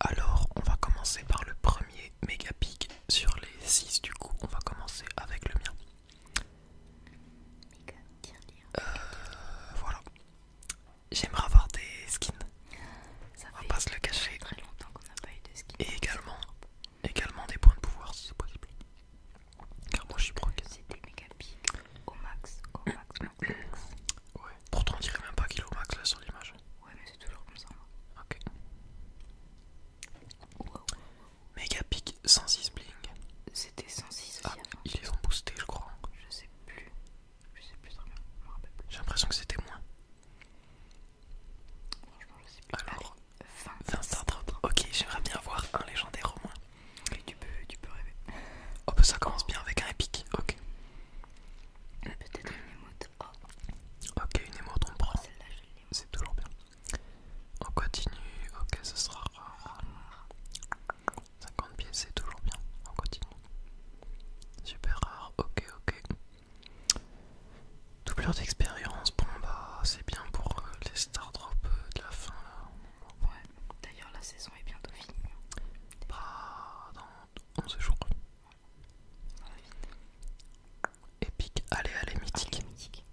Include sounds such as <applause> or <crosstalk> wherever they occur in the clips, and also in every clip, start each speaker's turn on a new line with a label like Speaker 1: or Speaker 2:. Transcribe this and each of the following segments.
Speaker 1: Alors, on va commencer par le premier méga pick sur les 6 du coup. On va commencer avec le mien. Euh, voilà. J'aimerais avoir des skins. on va pas se le cacher. Et également, également des points de pouvoir si c'est possible. Car moi je suis broc. Au max, au max, max, max. Ouais, pourtant on dirait même pas qu'il est au max là sur l'image. Ouais, mais c'est toujours comme ça. Hein. Ok. Wow, 106 bling. C'était 106 aussi. Ah, ils les ont boostés, je crois. Je sais plus. Je sais plus très bien. Je me rappelle plus. J'ai l'impression que c'était moins. Franchement, je sais plus. Alors, 20, 20 Ok, j'aimerais bien avoir un légendaire au moins. Et tu peux, tu peux rêver. Oh, bah ça commence bien avec un épique, ok. Peut-être une émote. Oh. Ok, une émote, on oh, prend. C'est toujours bien. On continue, ok, ce sera rare. 50 pièces, c'est toujours bien. On continue. Super rare, ok, ok. Doublure d'expérience, bon bah c'est bien pour euh, les star drops euh, de la fin là. Ouais, d'ailleurs la saison est bientôt finie. Bah, dans 11 jours. On va Épique, allez, allez, mythique. mythique.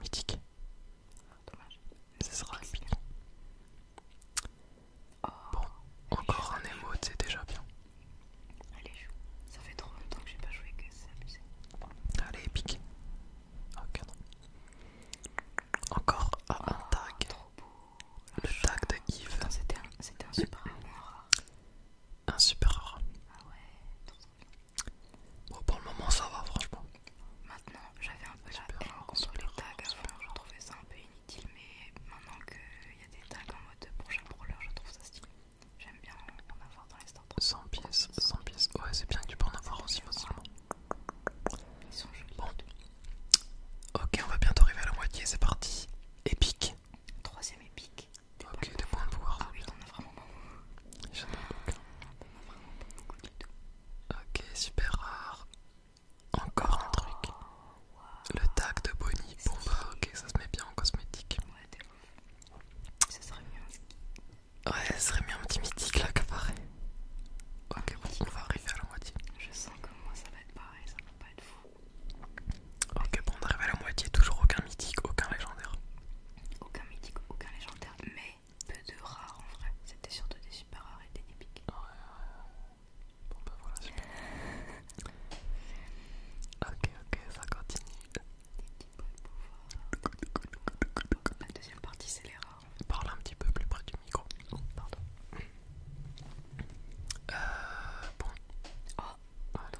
Speaker 1: Mythique. Dommage. Oh. Ça sera épique. bon, encore un émote, c'est déjà bien. Allez, joue. Ça fait trop longtemps que j'ai pas joué que c'est amusé. Allez, épique. Ok, non. Encore un oh, tag. Le tag de Yves. C'était un, super rare. Un super rare. Ah ouais. Bon, pour le moment, ça va, franchement. Maintenant, j'avais un peu la haine contre les tags avant, je trouvais ça un peu inutile, mais maintenant qu'il y a des tags en mode pour chaque brawler, je trouve ça stylé. J'aime bien en avoir dans les stores. 100 pièces, 100 pièces. Ouais, c'est bien que tu peux en avoir aussi facilement. Ils sont jolis. Bon. Ok, on va bientôt arriver à la moitié, c'est parti. Épique. Troisième épique. ok, deux points de hein. pouvoir. Ah oui, t'en vraiment J'en ai aucun. beaucoup Ok, super rare. Encore un truc. Oh, Le tag de Bonnie. Bon bah ok, ça se met bien en cosmétique. Ouais, t'es ouf. Ça serait mieux. Ouais, ça serait mieux en petit mythique là, qu'apparaît. Ok, on va arriver à la moitié. Je sens que moi ça va être pareil, ça va pas être fou. Ok, bon, on arrive à la moitié, toujours aucun mythique, aucun légendaire. Aucun mythique, aucun légendaire, mais peu de rares en vrai. C'était surtout des super rares et des épiques. Bon, ben voilà, super. ok, ok, ça continue. Des petits de La deuxième partie, c'est les rares. Parle un petit peu plus près du micro. Oh, pardon. Euh, bon. Oh, pardon,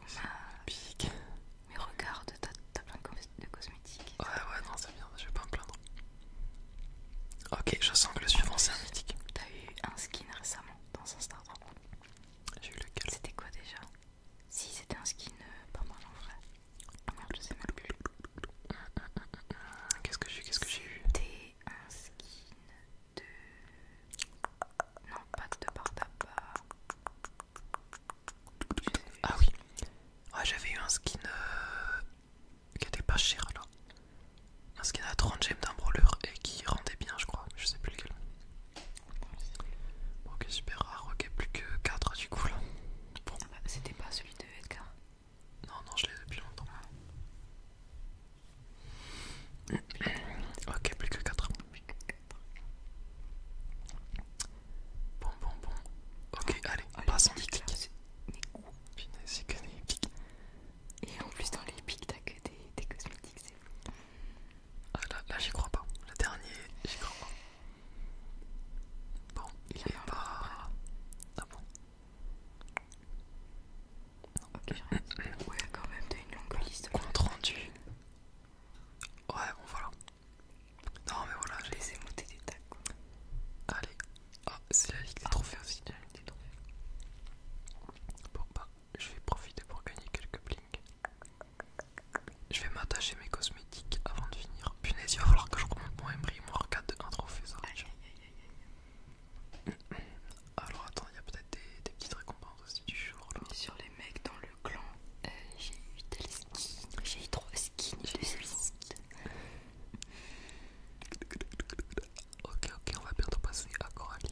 Speaker 1: Mais regarde, t'as plein de cosmétiques. Ouais, ouais, non, c'est bien, je vais pas me plaindre. Ok, je sens que le suivant c'est un mythique. T'as eu un skin récemment dans un startup J'ai eu lequel C'était quoi déjà Si, c'était un skin euh, pas mal en vrai. Ah, merde, je sais même plus. Qu'est-ce que j'ai Qu'est-ce que j'ai eu C'était un skin de. Non, de Ah oui ah, j'avais eu un skin euh, qui était pas cher là. Un skin à 30 gemmes d'un et qui rendait bien, je crois. Je sais plus lequel. ok, super rare. Ah, ok, plus que 4 du coup là. Ah bah, c'était pas celui de Edgar non, non, je l'ai depuis longtemps. ok, plus que 4 Bon, bon, bon. Ok, ah, allez, pas ça. au pic. C'est que des Et en plus, dans les pics, t'as que des, cosmétiques, c'est bon. Ah, là, là j'y crois pas. Le dernier, j'y crois pas. Bon, il, il est pas. Bah, ah bon ok, Ouais, quand même, t'as une longue liste. Compte rendu. Ouais, bon, voilà. Non, mais voilà, j'ai laissé monter des tacs. Allez. Ah, c'est la Ligue des Trophées aussi. La des Bon, bah, je vais profiter pour gagner quelques blinks. Je vais m'attacher mes cosmétiques avant de finir punaise, il va falloir que je remonte mon Emry, mon arcade, un trophée, ça aïe, aïe, aïe, aïe. Alors attends, il y a peut-être des, des petites récompenses aussi du jour là. sur les mecs dans le clan, euh, j'ai eu tel skins. j'ai eu trois skins, j'ai eu skins Ok, ok, on va bientôt passer à Coraline.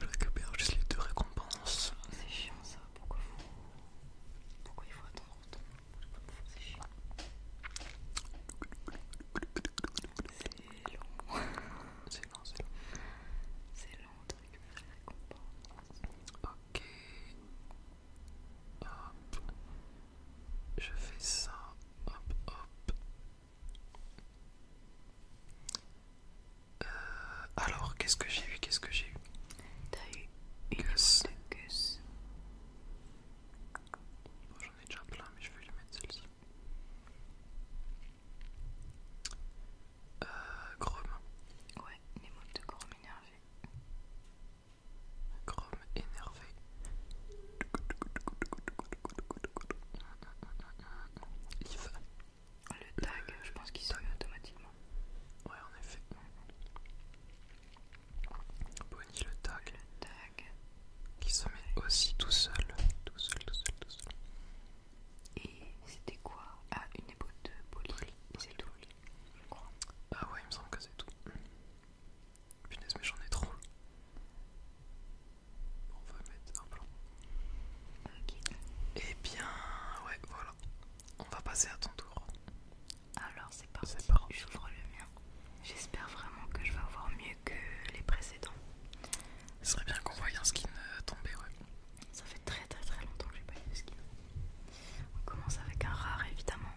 Speaker 1: Je récupère juste les deux récompenses. C'est chiant ça, pourquoi, pourquoi il faut attendre c'est chiant. C'est long. C'est long, c'est long. long de Ok. Hop. Je fais ça. Hop, hop. alors, qu'est-ce que j'ai eu Qu'est-ce que j'ai eu T'as eu une j'en ai déjà plein, mais je vais lui mettre celle-ci. Euh, ouais, les mots de Grom énervé. Grom énervé. Le tag, je pense qu'il sort automatiquement. Ouais, en effet. Bonnie le tag. Qui se met aussi tout seul. Tout seul, tout seul, tout seul. Et c'était quoi Ah, une épaule de Polly. C'est tout, Ah ouais, il me semble que c'est tout. Punaise, mais j'en ai trop. Bon, on va mettre un plan. Ok. Et eh bien, ouais, voilà. On va passer à ton tour. Alors c'est parti, j'ouvre le mien. J'espère vraiment que je vais avoir mieux que les précédents. Ce serait bien qu'on voie un skin euh, tomber, ouais. Ça fait très très très longtemps que j'ai pas eu de skin. On commence avec un rare évidemment.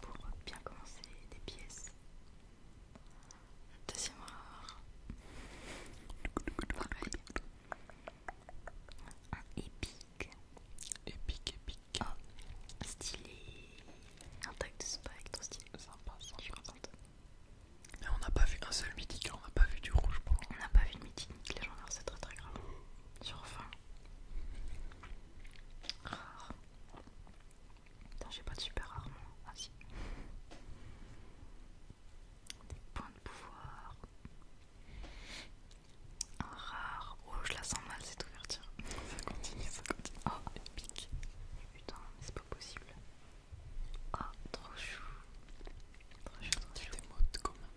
Speaker 1: Pour bien commencer des pièces. Deuxième rare. Pareil. Un épique. Épique, épique. Oh, stylé. Un tag de spike, style. stylé. Sympa, sympa. Je suis contente. Mais on n'a pas vu un seul mythique, on n'a pas vu du rouge pour On n'a pas vu de mythique, les gens c'est très très grave. Sur fin. Rare. j'ai pas de super rarement. Ah si. Des points de pouvoir. Un rare. Oh, je la sens mal cette ouverture. ça continue, ça continue. Oh, épique, pique. Putain, c'est pas possible. Oh, trop chou. Trop chou, trop Des modes commun,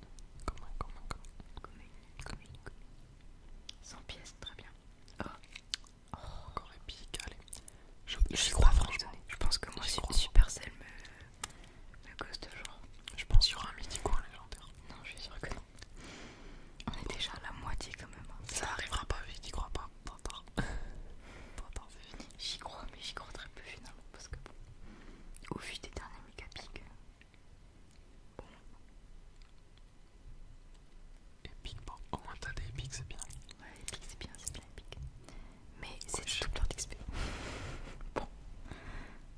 Speaker 1: commun. Commun, commun, commun. pièces, très bien. Oh. encore épique, allez. Je, crois, franchement. Je pense que moi, Supercell me, à cause de genre. Je pense qu'il y aura un midi légendaire. Non, je suis sûre que non. On est déjà à la moitié quand même. Hein. Ça arrivera pas vite, j'y crois pas. Bon tard. Bon <laughs> c'est fini. J'y crois, mais j'y crois très peu finalement. Parce que bon, au vu des derniers méga pics. Euh, bon. Epic, bon, au moins t'as des épiques, c'est bien. Ouais, epic, c'est bien, c'est bien Mais c'est tout plein d'XP. <laughs> Bon,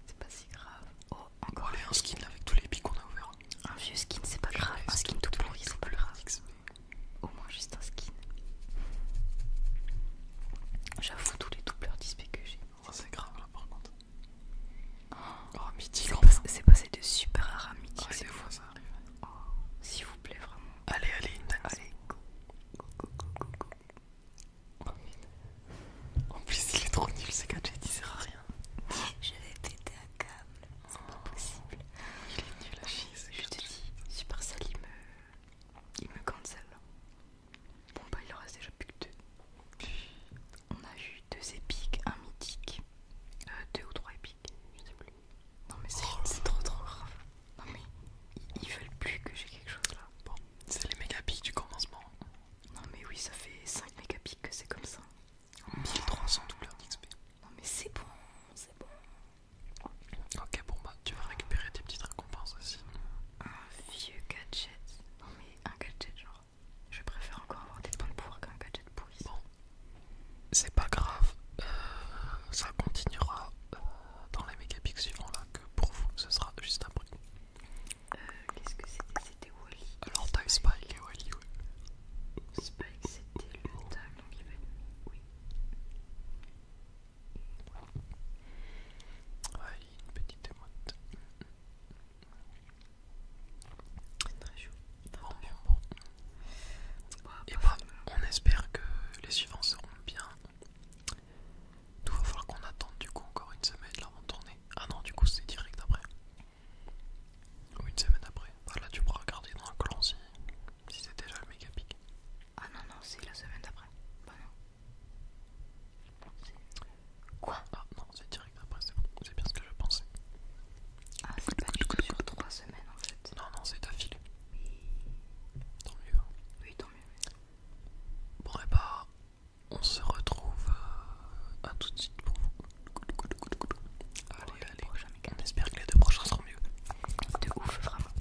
Speaker 1: c'est pas si grave. Oh, encore un skin avec tous les pics qu'on a ouvert. Un vieux skin, c'est pas grave. Un skin tout pourri, c'est pas grave. Au moins juste un skin. J'avoue, tous les doubleurs disques que j'ai. Oh, c'est grave là par contre. Oh, oh mythique. C'est passé de super rare à mythique. Ah, c'est ça arrive. Oh, s'il vous plaît, vraiment. Allez, allez, Oh, en plus, il est trop nul ce gadget, il sert à rien. Je vais péter un câble, c'est pas possible. Il est nul à chier Je te dis, Supercell il me. il me cancel. Bon, bah, il en reste déjà plus que deux. On a eu deux épiques, un mythique, euh, deux ou trois épiques, je sais plus. Non, mais c'est oh. trop trop grave. Non, mais ils, ils veulent plus que j'ai quelque chose là. Bon, c'est les méga pics du commencement. Non mais oui, ça fait 5 mégapix que c'est comme ça. 1300 douleurs d'XP. Non mais c'est bon, c'est bon. Ok bon bah tu vas récupérer tes petites récompenses aussi. Un vieux gadget. Non mais un gadget genre. Je préfère encore avoir des points de pouvoir qu'un gadget pourri. Bon. C'est pas grave. Euh, ça continuera euh, dans les mégapix suivants là que pour vous ce sera juste après. Euh, qu'est-ce que c'était C'était Wally. Alors, t'as Spike et Wally, oui. Spike, c'était le tag, donc il va être. Oui. Wally une petite émote. C'est très chou. Bon, bon, bon. et bah, on espère que les suivants seront bien. Il va falloir qu'on attende du coup encore une semaine avant de tourner. Ah non, du coup c'est direct après. Ou une semaine après. là tu pourras regarder dans le clan si, c'est déjà le méga pic. Ah non, non, c'est la semaine d'après. Bah non. Quoi Ah non, c'est direct après, c'est bon. C'est bien ce que je pensais. Ah, c'est pas du tout sur 3 semaines en fait. Non, non, c'est d'affilée. Oui. Tant mieux. Hein. Oui, tant mieux. Bon, et eh bah, ben, on se retrouve euh, à tout de suite pour vous. Allez, allez, on espère que les deux prochains seront mieux. De ouf, vraiment.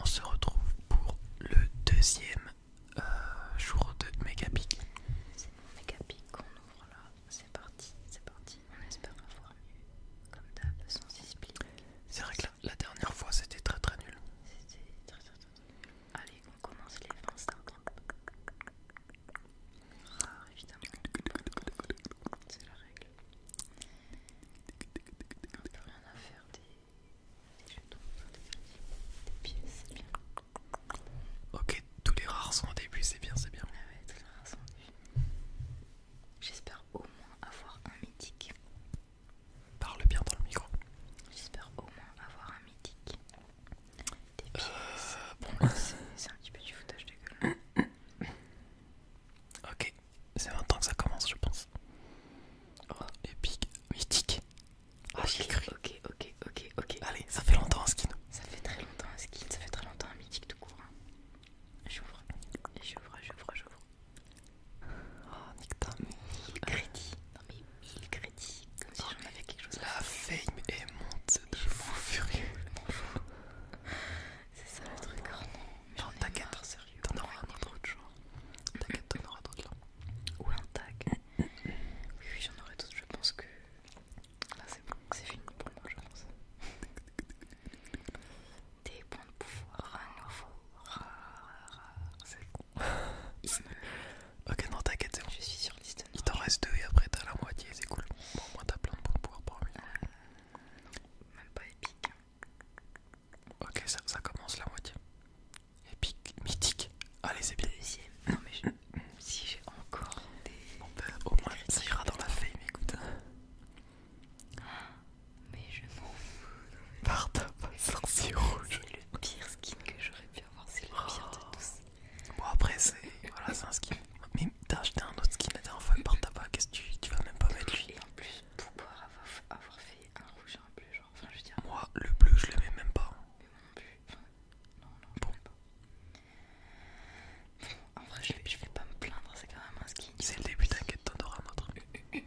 Speaker 1: On se retrouve pour le deuxième euh, jour de Megapic. C'est mon Megapic qu'on ouvre là. C'est parti, c'est parti. On espère avoir mieux. Comme d'hab, sans sensispic. C'est vrai que la dernière fois c'était très très nul. C'était très très nul. Allez, on commence les 20 secondes. Rares, évidemment. C'est la règle. On n'a rien à faire des, jetons, des, pièces, bien. Ok, tous les rares sont au début, c'est bien, c'est bien. Ah J'espère au moins avoir un mythique. Parle bien dans le micro. J'espère au moins avoir un mythique. Des euh, C'est un petit peu du foutage de gueule. <coughs> ok, c'est maintenant que ça commence, je pense. Oh, épique, mythique. Ah, j'ai cru. Ok, ok, ok, ok. Allez, ça fait longtemps un skin. Ça fait très longtemps un skin, ça fait très longtemps un mythique tout court. Hein. J'ouvre, j'ouvre, j'ouvre, j'ouvre. Oh, nique ta mais crédits. Ah, non mais mille crédits, comme si j'en avais quelque chose. La fame est monte de fou furieux. C'est ça le truc, oh non. Non, t'inquiète, t'en auras un autre jour. T'inquiète, t'en auras d'autres là. Ou un tag. Mm, mm, mm. Oui, j'en aurai d'autres, je pense que. Là, c'est bon, c'est fini pour moi, je pense des bons de pouvoir un nouveau. C'est ok, non, t'inquiète, Je suis sur liste. Il t'en reste deux et après t'as la moitié, c'est cool. moi t'as plein de bons de pouvoir, parmi euh, même pas épique. Ok, ça, commence la moitié. Épique, mythique. Allez, c'est bien. Non, mais si j'ai encore des. Bon, ben, au moins, ça ira dans la fame, écoute. Hein. Mais je m'en fous. Martin sorcier rouge. C'est le pire skin que j'aurais pu avoir, c'est le pire de tous. Oh. Bon après c'est voilà, c'est un skin. Mais t'as acheté un autre skin la dernière fois par tabac, qu'est-ce que tu, tu vas même pas mettre lui Et en plus pour avoir, avoir fait un rouge et un bleu, genre enfin je veux Moi le bleu je le mets même pas. non Enfin, non je bon. pas. Bon, en vrai je vais, je vais pas me plaindre, c'est quand même un skin. C'est le début, t'inquiète, t'en auras un autre. <laughs>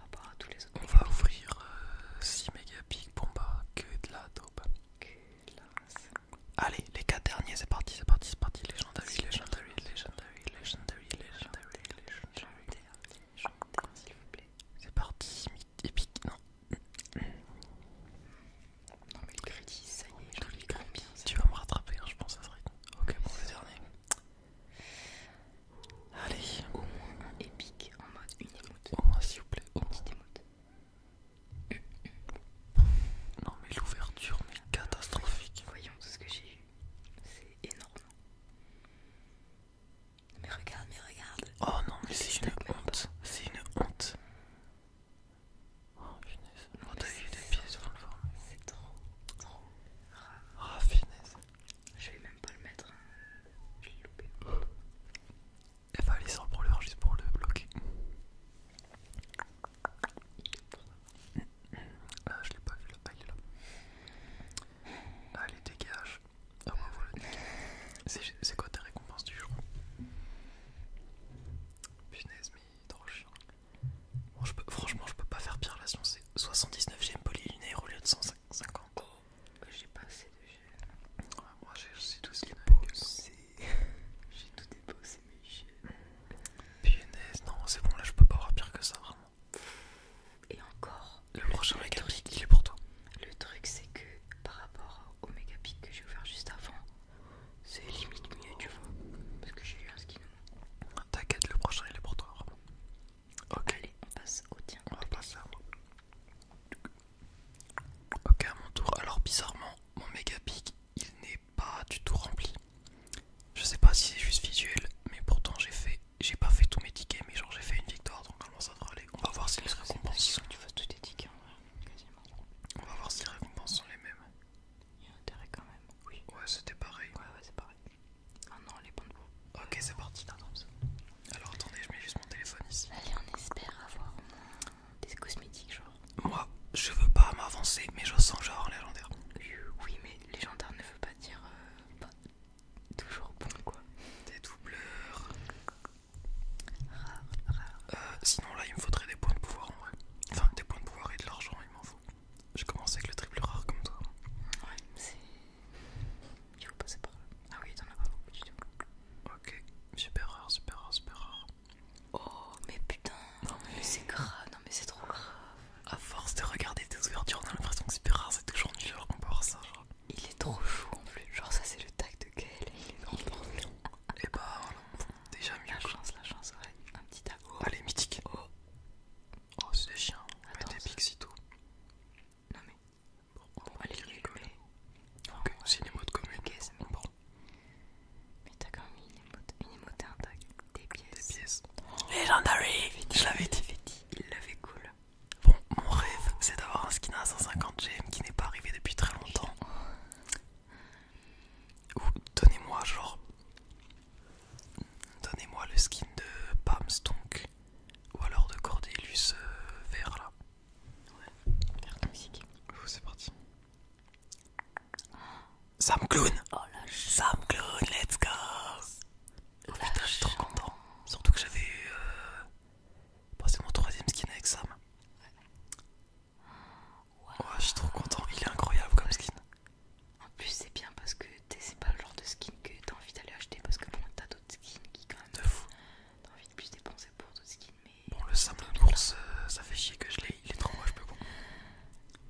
Speaker 1: on va ouvrir 6 euh, mégapics, bon bah que de la dope. Allez, les 4 derniers, c'est parti, c'est parti, c'est parti. Legendary, legendary, legendary, legendary, legendary, legendary. Legendary, s'il vous plaît. C'est parti, épique, non. Non mais le crédit, ça y est, je les crédits. Tu vas me rattraper, hein, je pense ça serait. Ok, bon, le dernier. Allez, au moins un épique en mode une émote. Au moins, s'il vous plaît, au moins. Petite Non, mais l'ouverture, mais catastrophique. Voyons tout ce que j'ai eu. C'est énorme. Mais regarde, mais regarde. Oh non, mais c'est une, honte. C'est une honte. Oh finesse. des pièces le C'est trop, trop. Ah, finesse. Je vais même pas le mettre, hein. loupé. Elle eh, va aller sans pour l'heure juste pour le bloquer. Ah, je l'ai pas vu là, ah, il est là. Allez, dégage. Ah, c'est quoi tes récompenses du jour Punaise, mais trop chiant. je peux, franchement, je peux pas faire pire La science, c'est 79 j'aime polyline au lieu de 150. J'ai pas assez de jeux. moi j'ai tout déposé. <laughs> J'ai tout déposé mes une mm. Punaise, non, c'est bon, là je peux pas avoir pire que ça, vraiment. Et encore, le prochain électronique, il est pour toi. Le truc, c'est que par rapport au pique que j'ai ouvert juste avant, c'est limite mieux, tu vois. Parce que j'ai eu un skin. T'inquiète, le prochain il est pour toi, Ok. on passe au tien. On à Ok, mon tour. Alors, bizarrement, mon méga pic, il n'est pas du tout rempli. Je sais pas si c'est juste visuel, mais pourtant j'ai fait, j'ai pas fait tous mes tickets, mais genre j'ai fait une victoire, donc comment ça On va voir si les récompenses. Sont... On va voir si les récompenses sont les mêmes. Il y a intérêt quand même. Ouais, c'était pareil. Ah non, les points de Ok, c'est parti. Alors attendez, je mets juste mon téléphone ici. Allez, on espère avoir des cosmétiques, genre. Moi, je veux pas m'avancer, mais je sens genre légendaire. Euh, oui, mais légendaire ne veut pas dire euh, toujours bon, quoi. Des doubleurs. Rare, rare. Euh, sinon, là, il me faudrait des points de pouvoir en vrai. Enfin, des points de pouvoir et de l'argent, il m'en faut. Je commence avec le triple rare comme toi. Ouais, c'est il faut passer par là. Ah oui, t'en as pas beaucoup du tout. Ok, super rare, super rare, super rare. Oh, mais putain, non, mais c'est grave, non, mais c'est trop grave. À force de regarder tes ouvertures, on a l'impression que super rare, c'est toujours nul genre qu'on peut ça. Genre. Il est trop chaud en plus, genre ça c'est le tag de quel il est trop Et eh bah ben, voilà, déjà mieux. La chance, la chance, ouais. Un petit tag. Allez, mythique. Oh, oh c'est des chiens, Attends, mais des pixies tout. Non mais. Bon, on va aller le Ok, c'est une émote commune. bon. Mais t'as quand même une une émote un Des pièces. Des pièces. Oh, Legendary Je l'avais dit. Il l'avait cool. Bon, mon rêve, c'est d'avoir un skin à 150 GM qui n'est pas arrivé depuis très longtemps. Oh. Ou donnez-moi genre. Donnez-moi le skin de Pam's Stonk. Ou alors de Cordelius euh, vert là. Ouais, vert toxique. c'est parti. Sam Clown Oh Sam Clown, let's go je suis trop content. Surtout que j'avais eu. Bah, c'est mon troisième skin avec Sam. Ouais, je suis trop content. Il est incroyable comme skin. En plus, c'est bien parce que c'est pas le genre de skin que t'as envie d'aller acheter parce que bon, t'as d'autres skins qui, quand même, t'as envie de plus dépenser pour d'autres skins. Mais bon, le simple de course, euh, ça fait chier que je l'ai, il est trop moche, plus bon.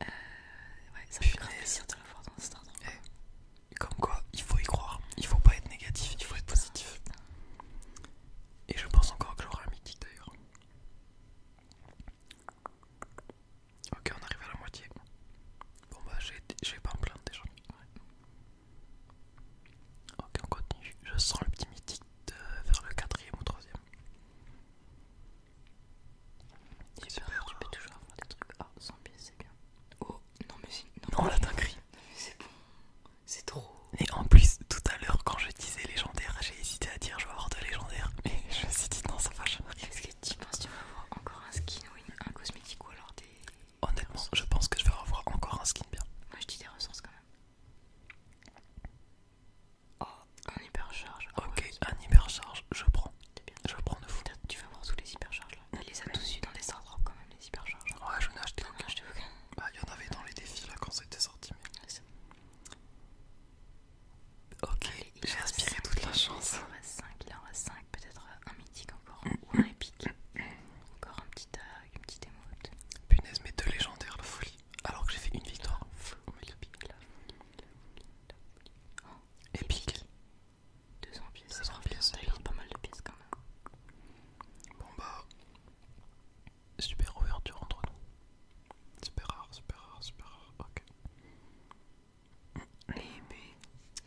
Speaker 1: Euh, ouais, ça fait réussir plaisir de la voir dans Star eh, Comme quoi, il faut y croire, il faut pas être négatif, il faut être positif. Et je pense encore que j'aurai un mythique d'ailleurs. Ok, on arrive à la moitié. Bon bah, j'ai vais pas en plein déjà. Ok, on continue. Je sens le petit mythique vers le quatrième ou troisième. Super, tu peux toujours avoir des trucs. Ah, 100 c'est bien. Oh, non, mais c'est. Non, non, là t'as c'est bon. C'est trop. Et en plus, tout à l'heure, quand je disais légendaire, j'ai hésité à dire je vais avoir de légendaire. Mais <laughs> je me suis dit non, ça va, je Est-ce que tu penses que tu vas avoir encore un skin ou une, un cosmétique ou alors des. Honnêtement, je pense que je vais revoir encore un skin bien. Moi je dis des ressources quand même. Oh, un hypercharge. Ah, ok, un hypercharge, je prends. Je prends de fou. Tu veux voir tous les hypercharges là. Elle les a tous eu dans les quand même, les hypercharges. Ouais, je ai acheté aucun. Bah, il y en avait dans les défis là quand c'était sorti. Ok, j'ai aspiré toute la chance. Il en reste 5, peut-être un mythique encore un épique, encore un petit tag, une petite émote. Punaise, mais deux légendaires, la folie. Alors que j'ai fait une victoire. On la folie, la folie, la folie. épique. 200 pièces. ça pièces. pas mal de pièces quand même. Bon bah, super ouverture entre nous. Super rare, super rare, super rare. Ok mais.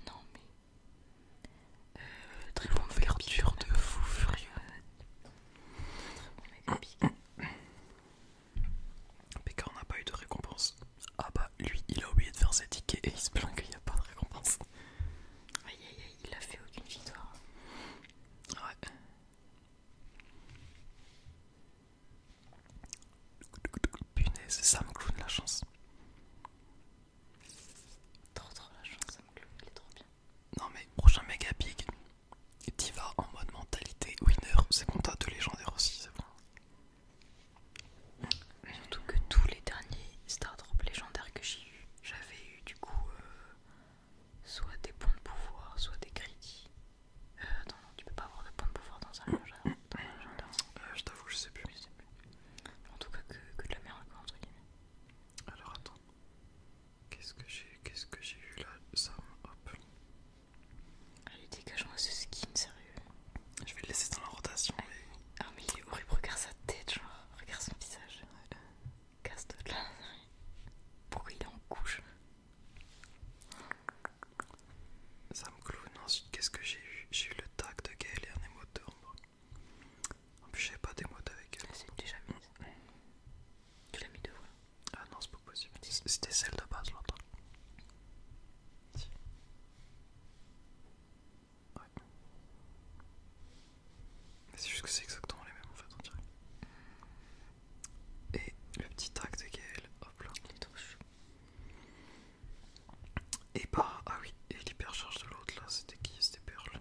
Speaker 1: Non, mais. Euh, très bon verdure de fou furieux. Très bon on n'a pas eu de récompense. Ah bah lui il a oublié de faire ses tickets et il se plaint qu'il n'y a pas de récompense. Aïe aïe aïe, il a fait aucune victoire. Ouais. Punaise, ça me cloune la chance la ça me il est trop bien. Non mais prochain méga big, t'y vas en mode mentalité winner, c'est bon t'as deux légendaires aussi, c'est bon. Surtout que tous les derniers Star Drop légendaires que j'ai eu, j'avais eu du coup euh, soit des ponts de pouvoir, soit des crédits. Euh, attends, non, tu peux pas avoir de points de pouvoir dans un légendaire. Euh, je t'avoue, Je sais plus. En tout cas, que, de la merde, quoi, entre guillemets. Alors attends, qu'est-ce que j'ai qu'est-ce que j'ai eu là Ça, hop. Allez, dégage-moi ce skin, sérieux. Je vais le laisser dans la rotation. Mais... Ah, mais il est horrible, regarde sa tête, genre, regarde son visage. Casse-toi de là. Pourquoi il est en couche Sam Clown. Ensuite, qu'est-ce que j'ai eu J'ai eu le le tag de Gael et un émote d'ombre. En plus, j'ai pas d'émote avec elle. Elle ah, c'est déjà mise. Tu l'as mis de vrai. Ah non, c'est pas possible. C'était celle de base, l'autre. Si. C'est juste que c'est exactement les mêmes en fait, on dirait. Et le petit tag de Gael. hop là. Il est trop chou. Et bah, ah oui, et l'hypercharge de l'autre là, c'était qui C'était Pearl.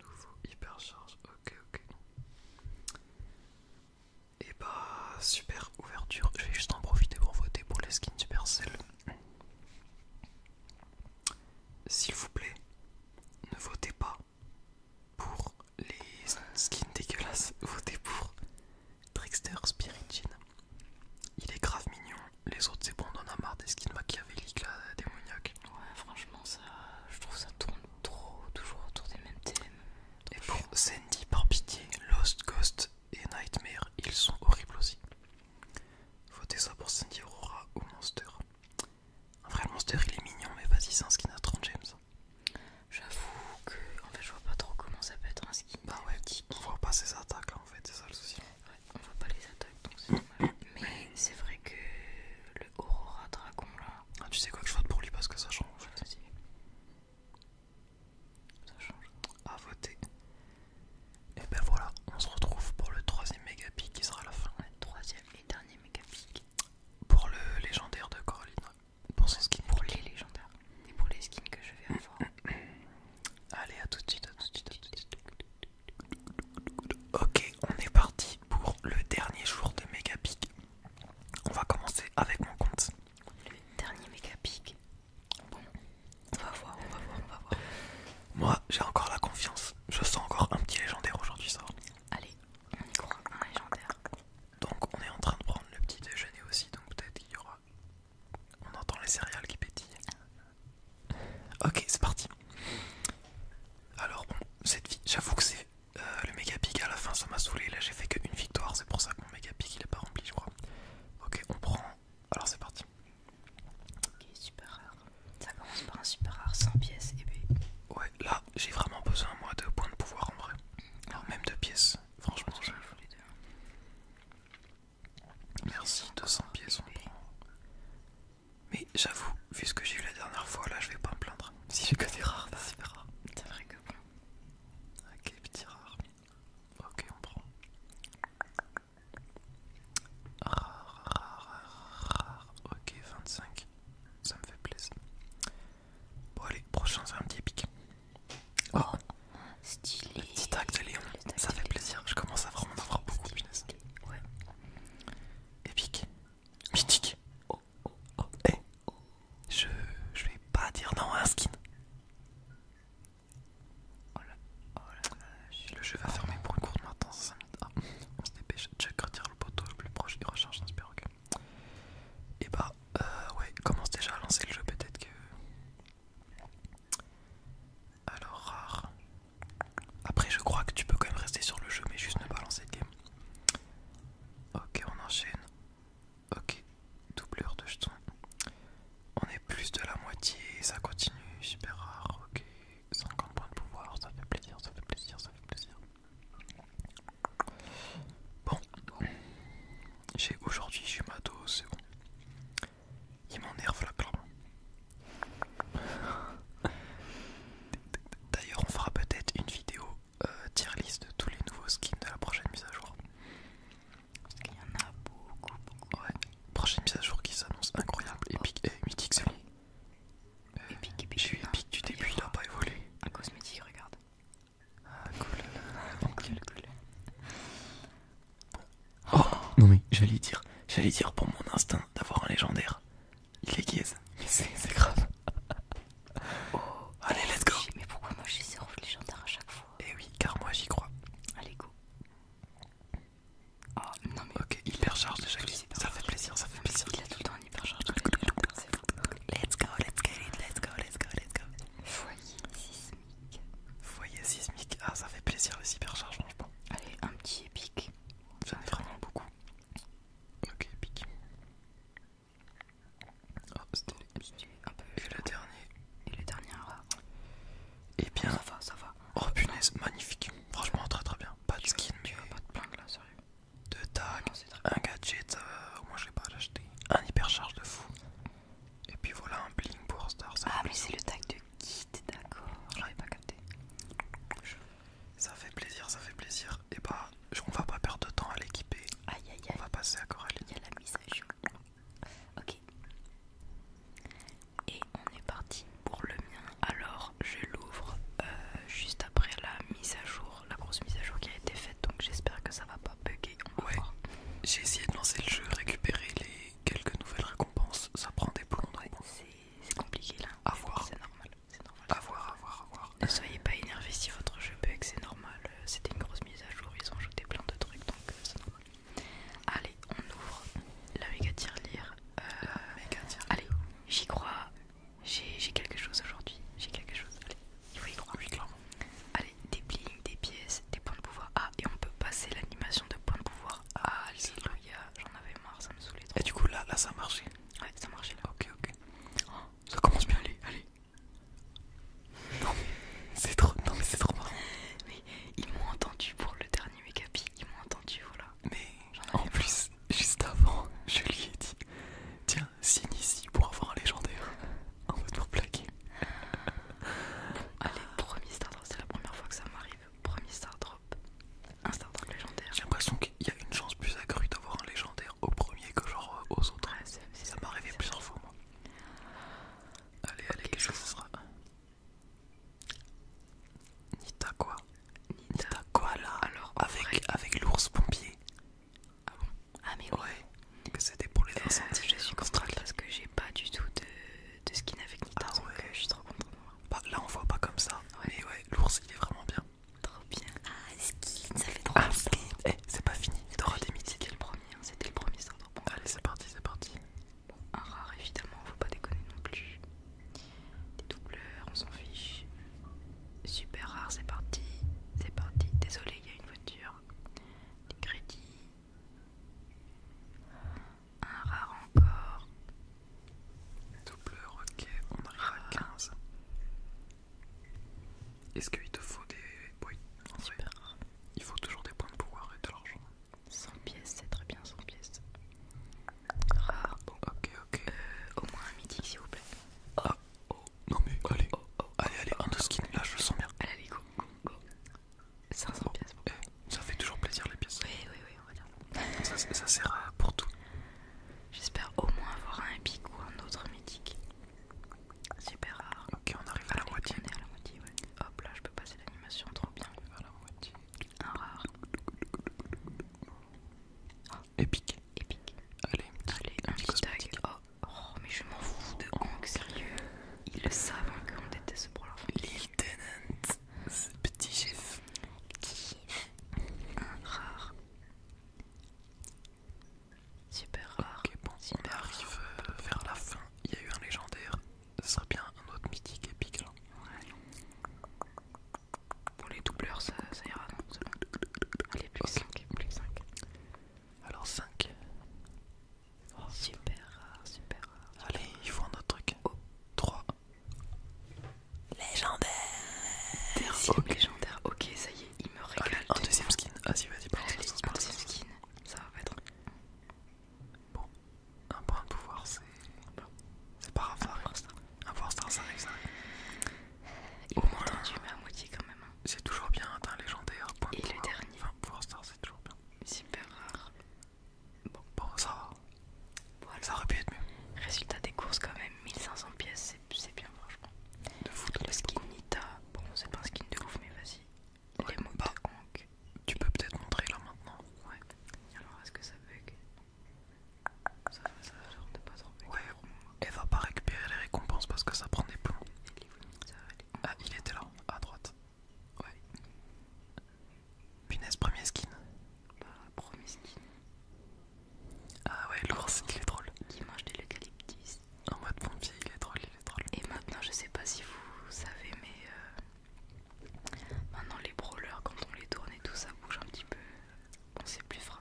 Speaker 1: Nouveau hypercharge, ok, ok. Et bah, super ouverture. Je vais juste en profiter pour voter pour les skins Supercell. S'il vous plaît, ne votez pas pour les skins dégueulasses, votez pour Trickster Spirit il est grave mignon. Les autres, c'est bon, on en a marre des skins machiavéliques là, démoniaques. Ouais, franchement, ça, je trouve ça tourne trop, toujours autour des mêmes thèmes. Et pour Sandy, par pitié, Lost Ghost et Nightmare, ils sont horribles aussi. Votez ça pour Sandy Aurora ou Monster. En vrai, Monster il est mignon, mais vas-y, c'est un skin à 30 gems. J'avoue que en fait, je vois pas trop comment ça peut être un skin. Bah ouais, on voit pas ses attaques là en fait, c'est ça le souci. Ouais, on voit pas les attaques donc c'est dommage. <coughs> Mais c'est vrai que le Aurora Dragon là. Ah, tu sais quoi que je vote pour lui parce que ça change. En Ça change. À voter. Et ben voilà, on se retrouve pour le troisième mégapic qui sera la fin. Ouais, troisième et dernier méga pic. Pour le légendaire de Coraline. Pour ces skins Pour les légendaires. Et pour les skins que je vais avoir. <coughs> Allez, à tout de suite, à tout de suite, à tout de suite. Ok, on est parti pour le dernier jour de pick On va commencer avec mon compte. Le dernier mega Bon, on va voir, on va voir, on va voir. Moi, j'ai encore la confiance. Je sens encore un petit légendaire aujourd'hui, ça. Allez, on y croit, un légendaire. Donc, on est en train de prendre le petit déjeuner aussi, donc peut-être qu'il y aura on entend les céréales qui pétillent. Ok, c'est parti. Alors bon, cette vie, j'avoue que c'est euh, le méga à la fin, ça m'a saoulé. Là, j'ai fait qu'une victoire, c'est pour ça que mon méga pic il est pas rempli, je crois. Ok, on prend. Alors c'est parti. Ok, super rare. Ça commence par un super rare, 100 pièces et Ouais, là, j'ai vraiment besoin moi de points de pouvoir en vrai. Alors même de pièces. Franchement, je... Hein. Merci, 200 pièces, on prend. Mais j'avoue, vu ce que j'ai eu la dernière fois, là je vais pas me plaindre. Si j'ai que des rares, bah, c'est rare. C'est vrai que Ok, ah, petit rare. Ok, on prend. Rare, rare, rare, rare. Ok, 25. Ça me fait plaisir. Bon allez, prochain c'est un petit épique. Oh, ah. stylé. Le petit acte de Léon, ça fait plaisir, je commence à vraiment avoir beaucoup de business. Ouais. Épique. Mythique. Oh, oh, oh. Eh. Je, vais pas dire non à un skin. Oh le jeu va fermer pour une de maintenant, 5 ah, minutes. on se dépêche. Chuck retire le poteau le plus proche et recharge dans ce et eh bah, ben, euh, ouais, commence déjà à lancer le jeu, peut-être que. Alors, rare. Après, je crois que tu peux quand même rester sur le jeu, mais juste ne pas lancer le game. Ok, on enchaîne. Ok, doubleur de jetons. On est plus de la moitié, ça continue, super rare. Ok, 50 points de pouvoir, ça fait plaisir, ça fait plaisir, ça fait plaisir. Bon, j'ai aujourd'hui, j'ai c'est bon. Il m'énerve la clairement. <laughs> D'ailleurs, on fera peut-être une vidéo euh, tier list de tous les nouveaux skins de la prochaine mise à jour. Parce qu'il y en a beaucoup, beaucoup. Ouais, prochaine mise à jour qui s'annonce incroyable. Oh. Epic et mythique, c'est bon. J'ai suis épique du début, il a pas évolué. Un cosmétique, regarde. Ah cool, Oh, non mais j'allais dire, j'allais dire pour mon instinct d'avoir un légendaire. Il est guise, mais c'est grave. Oh, allez, let's go. Mais pourquoi moi j'ai le légendaire à chaque fois Eh oui, car moi j'y crois. Allez go. Oh non mais. Ok, hypercharge déjà. Ça fait plaisir, ça fait plaisir. Il a tout le temps un hypercharge. Let's go, let's go, let's go, let's go, let's go. Foyer sismique. Foyer sismique. Ah, ça fait plaisir les hypercharges franchement. Allez, un petit épique. J'en ai vraiment beaucoup. Ok, épique. Hop, oh, c'était Et le dernier. Et le dernier rare ah. Et eh bien. ça va, ça va. Oh punaise, magnifique. Franchement, très très bien. Pas de skin, vas Pas de plainte là, sérieux. De tags, un gadget, euh, moi je vais pas l'acheter, un hypercharge de fou. Et puis voilà un bling pour Star. ah mais c'est le tag de kit, d'accord. J'avais pas capté. Ça fait plaisir, ça fait plaisir. Et bah on va pas perdre de temps à l'équiper. Aïe aïe aïe. On va passer à Coralie. Il y a la mise à jour. Ok. Et on est parti pour le mien. Alors je l'ouvre euh, juste après la mise à jour la grosse mise à jour qui a été faite, donc j'espère que ça va pas bugger. ouais, j'ai essayé de lancer le jeu, récupérer les quelques nouvelles récompenses, ça prend des plombs. c'est compliqué là. À voir. C'est normal. voir, à voir, à voir. Ne soyez pas énervés si votre jeu bug, c'est normal. Euh, c'était une grosse mise à jour, ils ont ajouté plein de trucs, donc euh, c'est normal. Allez, on ouvre la méga tirelire. Euh, Allez, j'y crois. J'ai quelque chose aujourd'hui. J'ai quelque chose. Allez. Allez, des bling, des pièces, des points de pouvoir. A, et on peut passer l'animation de points de pouvoir. Ah, Alléluia, j'en avais marre, ça me saoulait trop. Et du coup, là, ça a marché Ouais, ça a là. Ok, ok. Oh. ça commence bien, allez, allez. Non, c'est trop, non, mais c'est trop marrant. Mais ils m'ont entendu pour le dernier pic, ils m'ont entendu, voilà. Mais en, en plus, juste avant, je lui ai dit Tiens, ici pour avoir un légendaire. En <laughs> mode pour plaquer. Allez, premier star drop, c'est la première fois que ça m'arrive. Premier star drop, un star drop légendaire. J'ai l'impression qu'il y a une chance plus accrue d'avoir un légendaire au premier que genre euh, aux autres. ça m'est arrivé plusieurs fois, moi. Allez, allez, quelque chose sera. Nita quoi Nita, quoi là Alors, avec, avec l'ours pompier. Ah bon ah mais oui. Ouais, que c'était pour les euh, incendies. je suis contente parce que j'ai pas du tout de, de skin avec Nita, ah, donc euh, je suis trop contente. Bah, là on voit pas comme ça, Oui mais ouais, l'ours il est vraiment bien. Trop bien. Ah skin, ça fait trop ah, skin. Eh, c'est pas fini, il aura des C'était le premier, hein, c'était le premier sort. Bon, Allez c'est parti, c'est parti. Bon, un rare évidemment, faut pas déconner non plus. Des doubleurs, on s'en fiche. Super rare, c'est parti. C'est parti. Désolé, il y a une voiture. Des crédits. Un rare encore. double ok, on a 15. Ah. Est-ce qu'il te faut des. Oui, Super rare. Il faut toujours des points de pouvoir et de l'argent. 100 pièces, c'est très bien, 100 pièces. Rare. Bon, ok, euh, au moins un mythique, s'il vous plaît. Ah. Oh. Non mais allez, allez, allez, un skin, là je le sens bien. Allez, go, go, go. 500 pièces. Eh, ça fait toujours plaisir les pièces. Oui, oui, oui, on va dire. Ça, sert à pour tout. J'espère au moins avoir un épique ou un autre mythique. Super rare. Ok, on arrive à la moitié. Hop là, je peux passer l'animation, trop bien. à la moitié. Un rare. Oh, Épique. Épique. Allez, un petit, Allez, un petit, tag. Oh, oh, mais je m'en fous de oh, Hank, sérieux. Ils le savent hein, qu'on déteste pour leur famille. Lieutenant, ce petit chef. Petit chef. Un rare. Super rare. Ok, on arrive euh, vers la fin. Il y a eu un légendaire. Ce serait bien un autre mythique épique là. Ouais. Pour les doubleurs, ça, ira, non Allez, plus 5. Plus 5. Alors 5. super rare, super rare. Allez, il faut un autre truc. 3. Légendaire. Deuxième légendaire. Ok, ça y est, il me régale. un deuxième skin. Vas-y, vas-y, pardon. Allez, un deuxième skin. Ça va être. Bon, un point de pouvoir, c'est. C'est pas grave, Un pouvoir star, ça arrive, ça arrive. Il quand même. Hein. C'est toujours bien, un hein, légendaire. Point Et le dernier. pour Star, c'est toujours bien. Super rare. Bon, ça va. Ça aurait pu être mieux. Résultat des courses, quand même 1500 pièces, c'est bien, franchement. De fou, le skin Nita, bon, c'est pas un skin de ouf, mais vas-y. Ouais, Les bah, Tu peux peut-être montrer là maintenant. Ouais. Alors, est-ce que ça bug ça, ça a l'air de pas trop Ouais, elle va pas récupérer les récompenses parce que ça prend des plombs. Ah, il était là, à droite. Ouais. Punaise, premier skin. Bah, premier skin. Ah ouais, l'ours, il est drôle. Qui mange de l'eucalyptus. En mode pompier, il est drôle, il est drôle. Et maintenant, je sais pas si vous savez, mais euh, maintenant les brawlers, quand on les tourne et tout, ça bouge un petit peu. On sait plus fra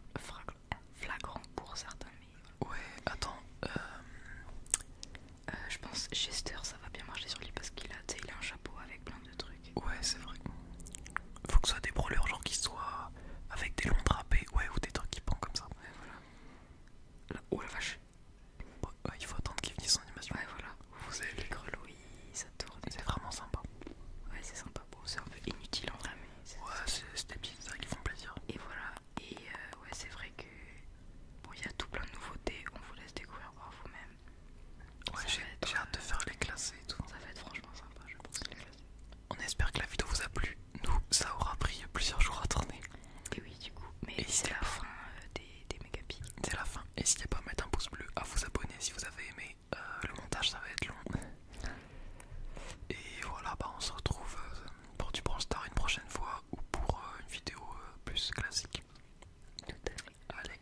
Speaker 1: flagrant pour certains. Mais... Ouais, attends. Euh, euh, je pense Chester, ça va bien marcher sur lui parce qu'il a, un chapeau avec plein de trucs. Ouais, c'est vrai. Faut que ce soit des brûleurs, genre qui soient avec des longs drapés, ouais, ou des trucs qui pendent comme ça. voilà. oh la vache! Bah, il faut attendre qu'il finisse son animation. voilà. Vous avez les ça tourne. C'est vraiment sympa. Ouais, c'est sympa c'est un peu inutile en vrai, mais c'est des petites choses qui font plaisir. Et voilà, et euh, ouais, c'est vrai que il y a tout plein de nouveautés, on vous laisse découvrir par vous-même. j'ai hâte de euh, faire les classer et tout. Ça va être franchement sympa, On espère que la vidéo vous a plu. Nous, ça aura pris plusieurs jours à tourner. Et oui, du coup, mais c'est la fin euh, des, des méga C'est la fin. N'hésitez pas à mettre un pouce bleu, à vous abonner si vous avez aimé. le montage, ça va être long. Et voilà, bah, on se retrouve euh, pour du Bronze Star une prochaine fois ou pour euh, une vidéo euh, plus classique. Allez,